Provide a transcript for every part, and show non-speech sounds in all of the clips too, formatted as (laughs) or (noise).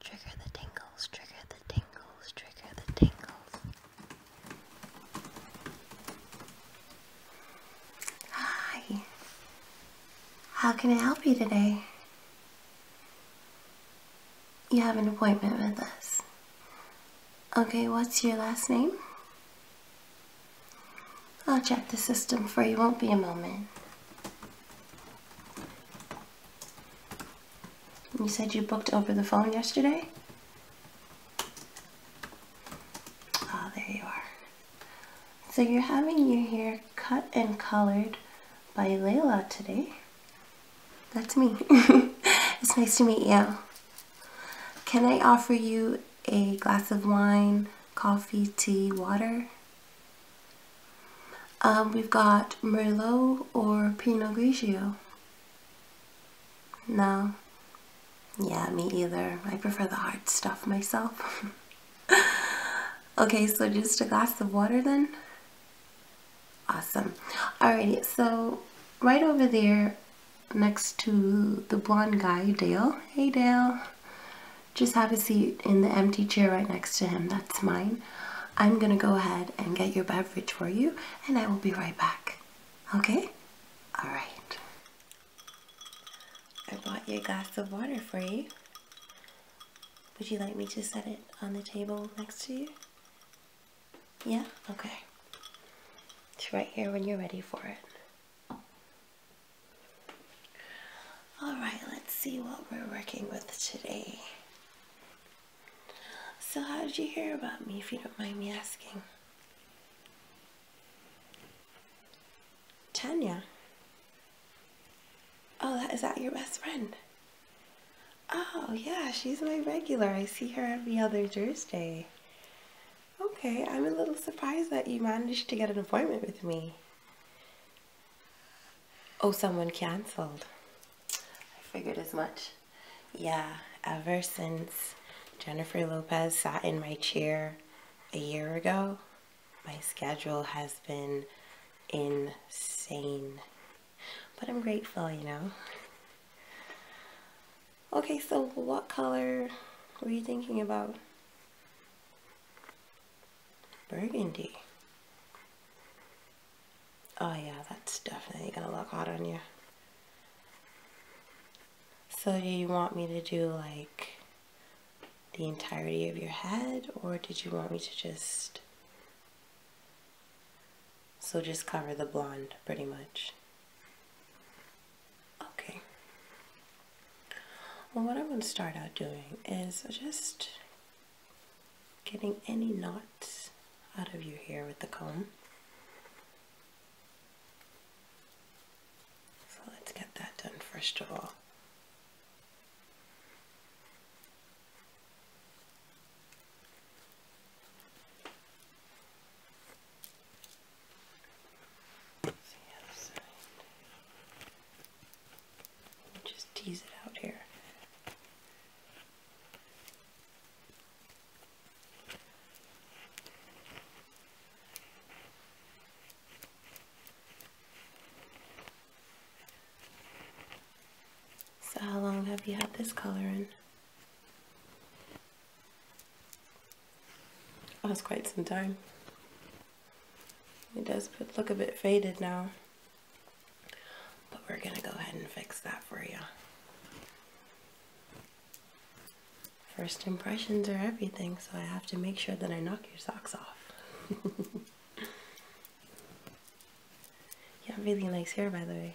Trigger the tingles, trigger the tingles, trigger the tingles. Hi. How can I help you today? You have an appointment with us. Okay, what's your last name? I'll check the system for you, won't be a moment. You said you booked over the phone yesterday? Oh, there you are. So you're having your hair cut and colored by Layla today. That's me. (laughs) it's nice to meet you. Can I offer you a glass of wine, coffee, tea, water? Um, we've got Merlot or Pinot Grigio. No. Yeah, me either. I prefer the hard stuff myself. (laughs) okay, so just a glass of water then? Awesome. Alrighty, so right over there next to the blonde guy, Dale. Hey, Dale just have a seat in the empty chair right next to him. That's mine. I'm going to go ahead and get your beverage for you and I will be right back. Okay? All right. I bought you a glass of water for you. Would you like me to set it on the table next to you? Yeah? Okay. It's right here when you're ready for it. Alright, let's see what we're working with today. So, how did you hear about me, if you don't mind me asking? Tanya. Oh, that, is that your best friend? Oh, yeah, she's my regular. I see her every other Thursday. Okay, I'm a little surprised that you managed to get an appointment with me. Oh, someone cancelled. I figured as much. Yeah, ever since Jennifer Lopez sat in my chair a year ago, my schedule has been insane. But I'm grateful, you know. Okay, so what color were you thinking about? Burgundy. Oh yeah, that's definitely gonna look hot on you. So you want me to do like the entirety of your head or did you want me to just so just cover the blonde pretty much okay well what I'm gonna start out doing is just getting any knots out of your hair with the comb. So let's get that done first of all. Just tease it out here. So how long have you had this color in? Oh, quite some time. It does look a bit faded now. But we're going to go ahead and fix that for you. First impressions are everything, so I have to make sure that I knock your socks off. you (laughs) have really nice hair, by the way.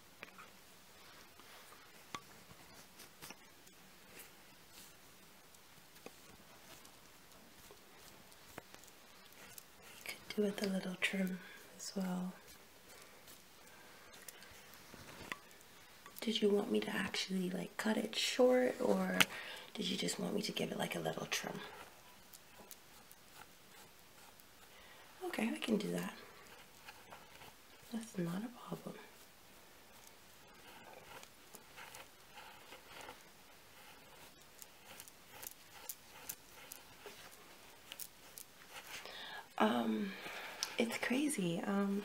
Could do with a little trim as well. Did you want me to actually like cut it short or did you just want me to give it like a little trim? Okay, we can do that. That's not a problem. Um, it's crazy. Um,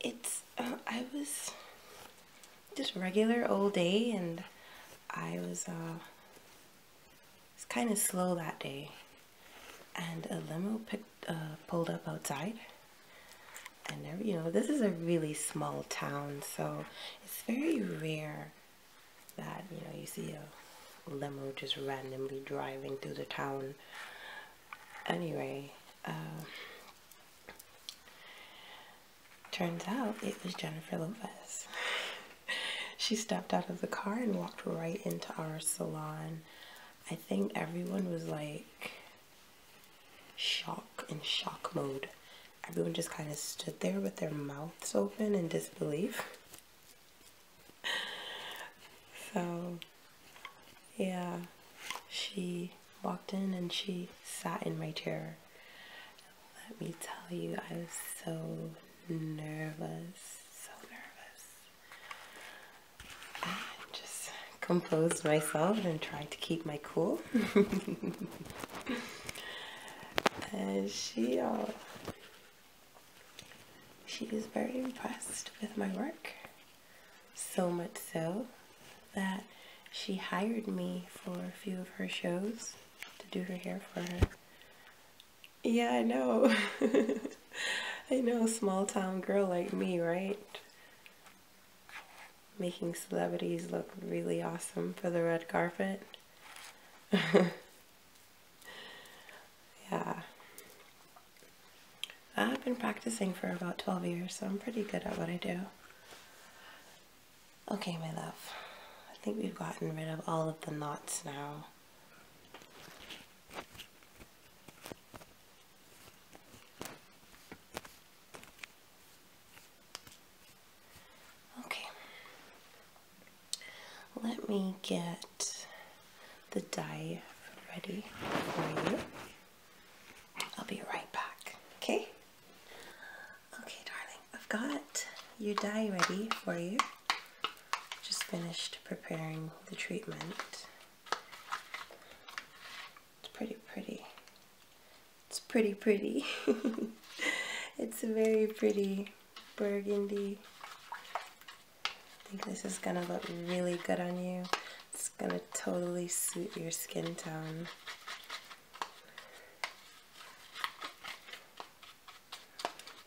it's, uh, I was just regular old day and I was, uh, it's kind of slow that day. And a limo picked, uh, pulled up outside. And, there, you know, this is a really small town, so it's very rare that, you know, you see a limo just randomly driving through the town. Anyway, uh, turns out it was Jennifer Lopez. (laughs) she stepped out of the car and walked right into our salon. I think everyone was like shock in shock mode. Everyone just kind of stood there with their mouths open in disbelief. (laughs) so, yeah, she walked in and she sat in my chair. Let me tell you, I was so nervous, so nervous just composed myself and tried to keep my cool. (laughs) and she, uh, she is very impressed with my work. So much so that she hired me for a few of her shows to do her hair for her. Yeah, I know. (laughs) I know, small town girl like me, right? Making celebrities look really awesome for the red carpet. (laughs) yeah. I've been practicing for about 12 years, so I'm pretty good at what I do. Okay, my love. I think we've gotten rid of all of the knots now. Okay, let me get the dye ready for you. I'll be right back, okay? Okay, darling, I've got your dye ready for you. Just finished preparing the treatment. It's pretty pretty. It's pretty pretty. (laughs) it's a very pretty burgundy. I think this is gonna look really good on you. It's gonna totally suit your skin tone.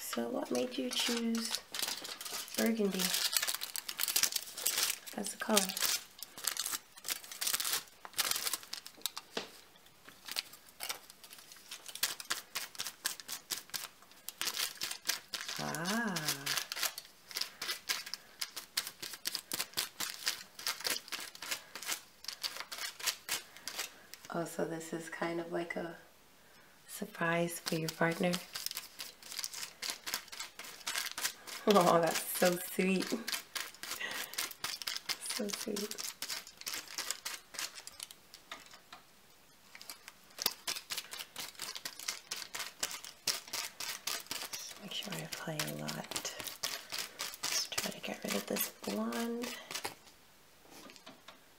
So what made you choose burgundy as a color? Ah. Oh, so this is kind of like a surprise for your partner. Oh, that's so sweet. So sweet. make sure I play a lot. Let's try to get rid of this blonde.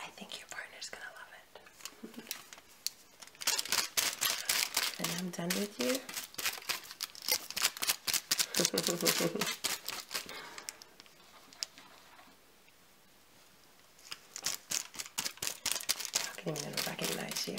I think your partner's gonna love it. (laughs) and I'm done with you. (laughs) I can't recognize you.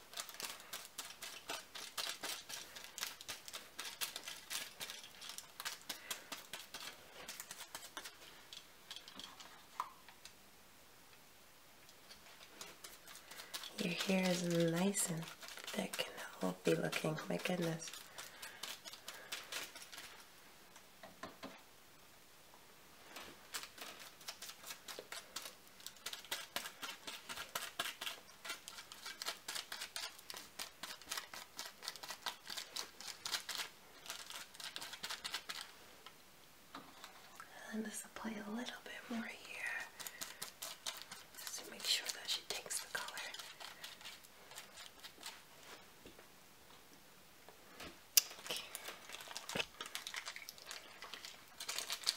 Your hair is nice and thick and healthy looking, my goodness. And just apply a little bit more here just to make sure that she takes the color. Okay.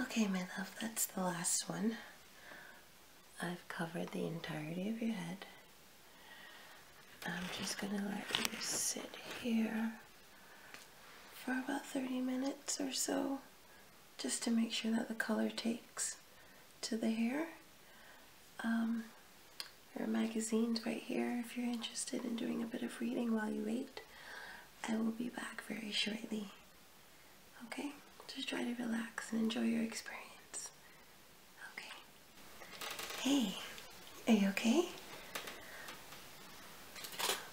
Okay, my love, that's the last one. I've covered the entirety of your head. I'm just going to let you sit here for about 30 minutes or so just to make sure that the color takes to the hair. Um, there are magazines right here if you're interested in doing a bit of reading while you wait. I will be back very shortly. Okay? Just try to relax and enjoy your experience. Okay. Hey, are you okay?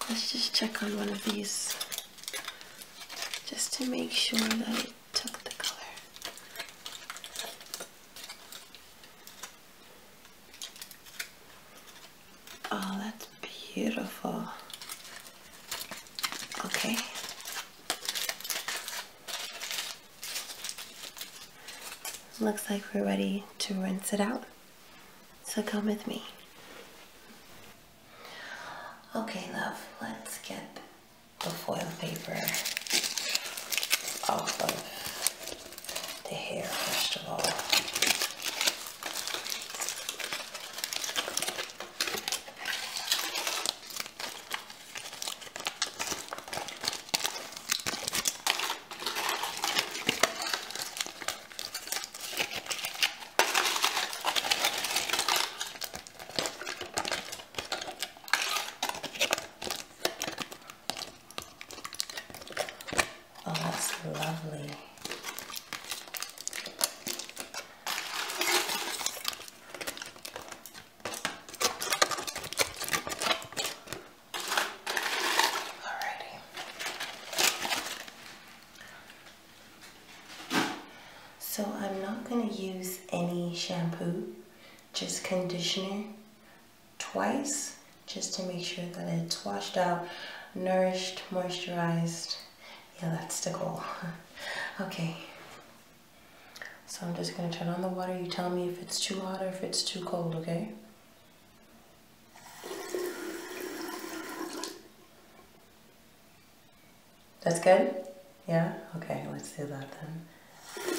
Let's just check on one of these just to make sure that it took the color. Oh, that's beautiful. Okay. Looks like we're ready to rinse it out. So come with me. Okay, love, let's get the foil paper off of the hair first of all. Oh, that's lovely. Alrighty. So I'm not going to use any shampoo, just conditioner twice just to make sure that it's washed out, nourished, moisturized. Yeah, that's the goal. (laughs) okay. So I'm just going to turn on the water. You tell me if it's too hot or if it's too cold, okay? That's good? Yeah? Okay, let's do that then.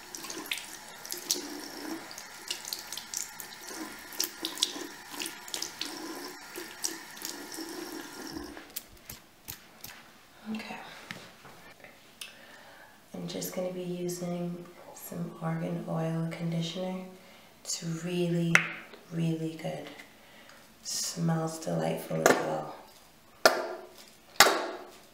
Okay. I'm just going to be using some Argan Oil Conditioner. It's really, really good. Smells delightful as well.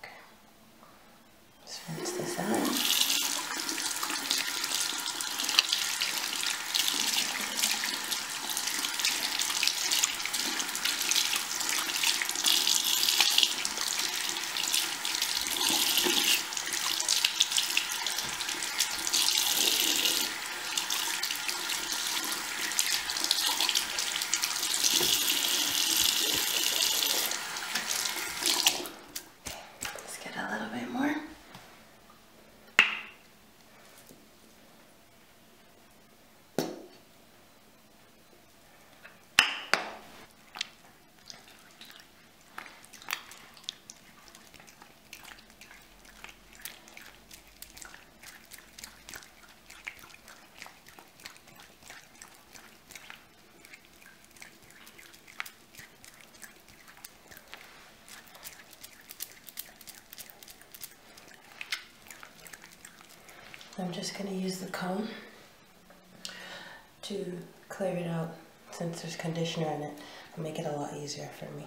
Okay. Let's rinse this out. Let's get a little bit more. I'm just going to use the comb to clear it out since there's conditioner in it. make it a lot easier for me.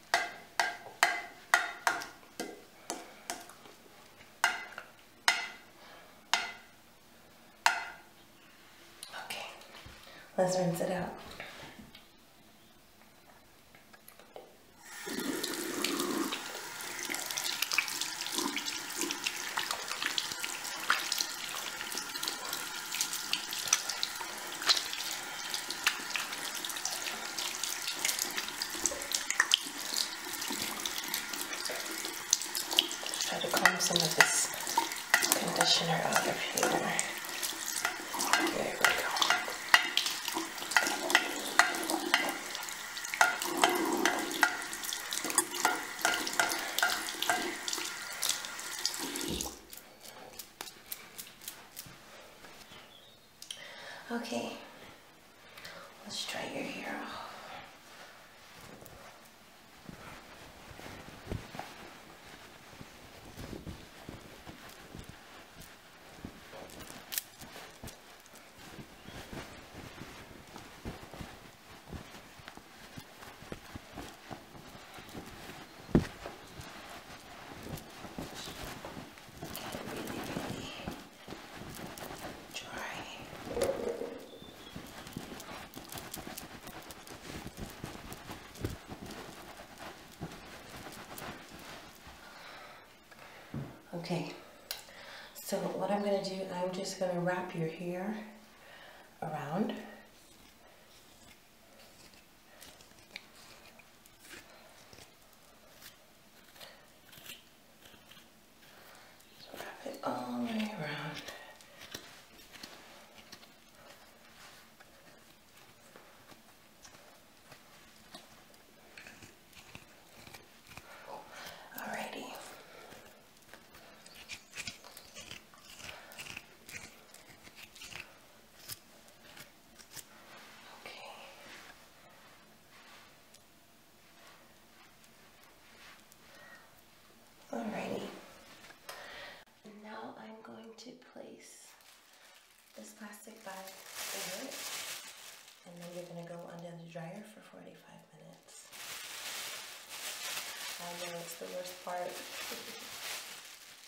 Okay, let's rinse it out. Try to comb some of this conditioner out of here. There we go. Okay, let's try your hair Okay, so what I'm going to do, I'm just going to wrap your hair around wrap it all the way around. Alrighty. Okay. Alrighty. Now I'm going to place this plastic bag over it, and then you're going to go under the dryer for 45 minutes. I know it's the worst part. (laughs)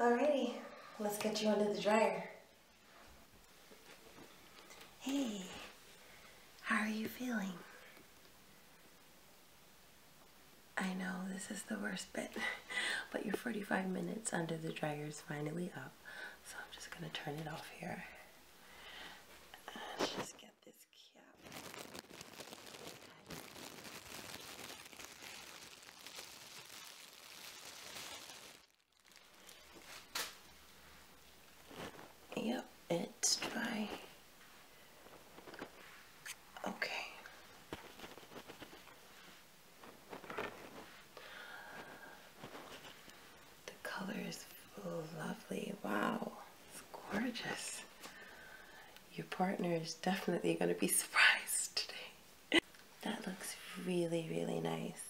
Alrighty, let's get you under the dryer. Hey, how are you feeling? I know this is the worst bit, (laughs) but your 45 minutes under the dryer is finally up, so I'm just gonna turn it off here. Let's just get this cap. Yep, it's dry. Okay. The color is lovely. Wow, it's gorgeous. Your partner is definitely going to be (laughs) surprised today. That looks really, really nice.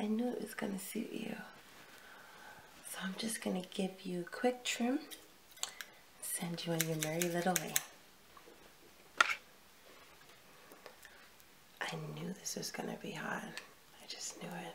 I knew it was going to suit you. So I'm just going to give you a quick trim, send you on your merry little way. I knew this was going to be hot. I just knew it.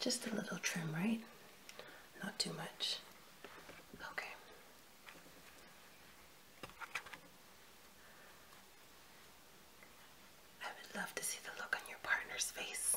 Just a little trim, right? Not too much. Okay. I would love to see the look on your partner's face.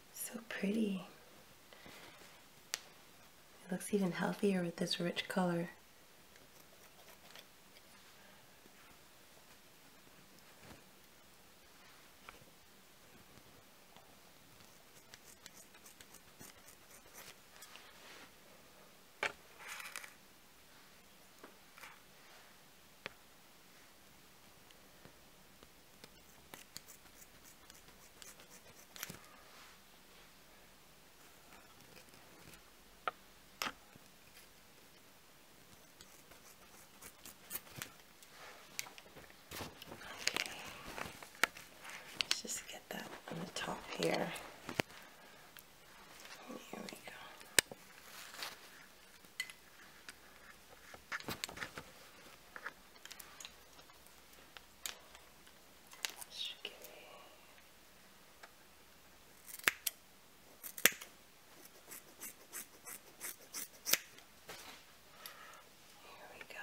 So pretty. It looks even healthier with this rich color. Let's just get that on the top here. Here we go should give me here we go.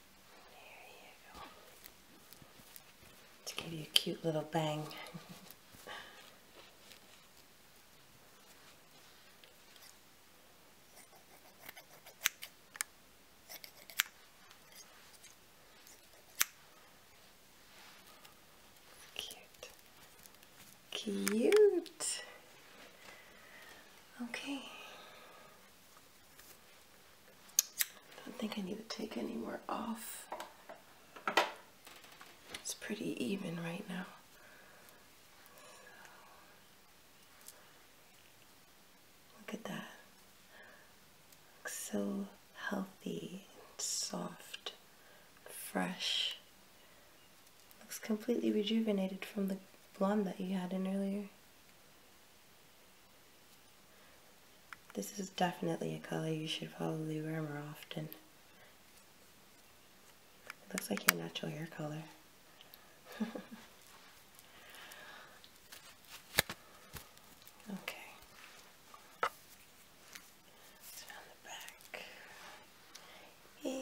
There To give you a cute little bang. Cute. Cute. Okay. I don't think I need to take any more off. It's pretty even right now. Look at that. Looks so healthy soft, fresh. Looks completely rejuvenated from the blonde that you had in earlier. This is definitely a color you should probably wear more often. It looks like your natural hair color. (laughs) okay. around the back. Here.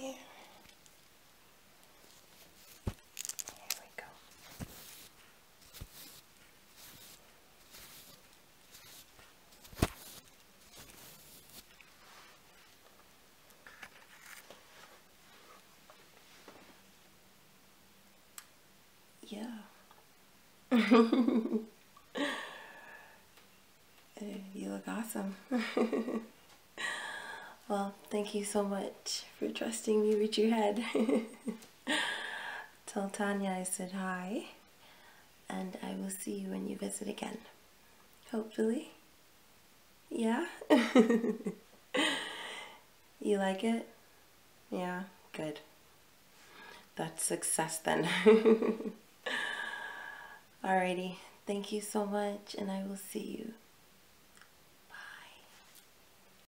Here we go. Yeah. (laughs) you look awesome. (laughs) well, thank you so much for trusting me with your head. (laughs) (laughs) Tell Tanya I said hi, and I will see you when you visit again. Hopefully. Yeah? (laughs) you like it? Yeah, good. That's success then. (laughs) Alrighty, thank you so much, and I will see you.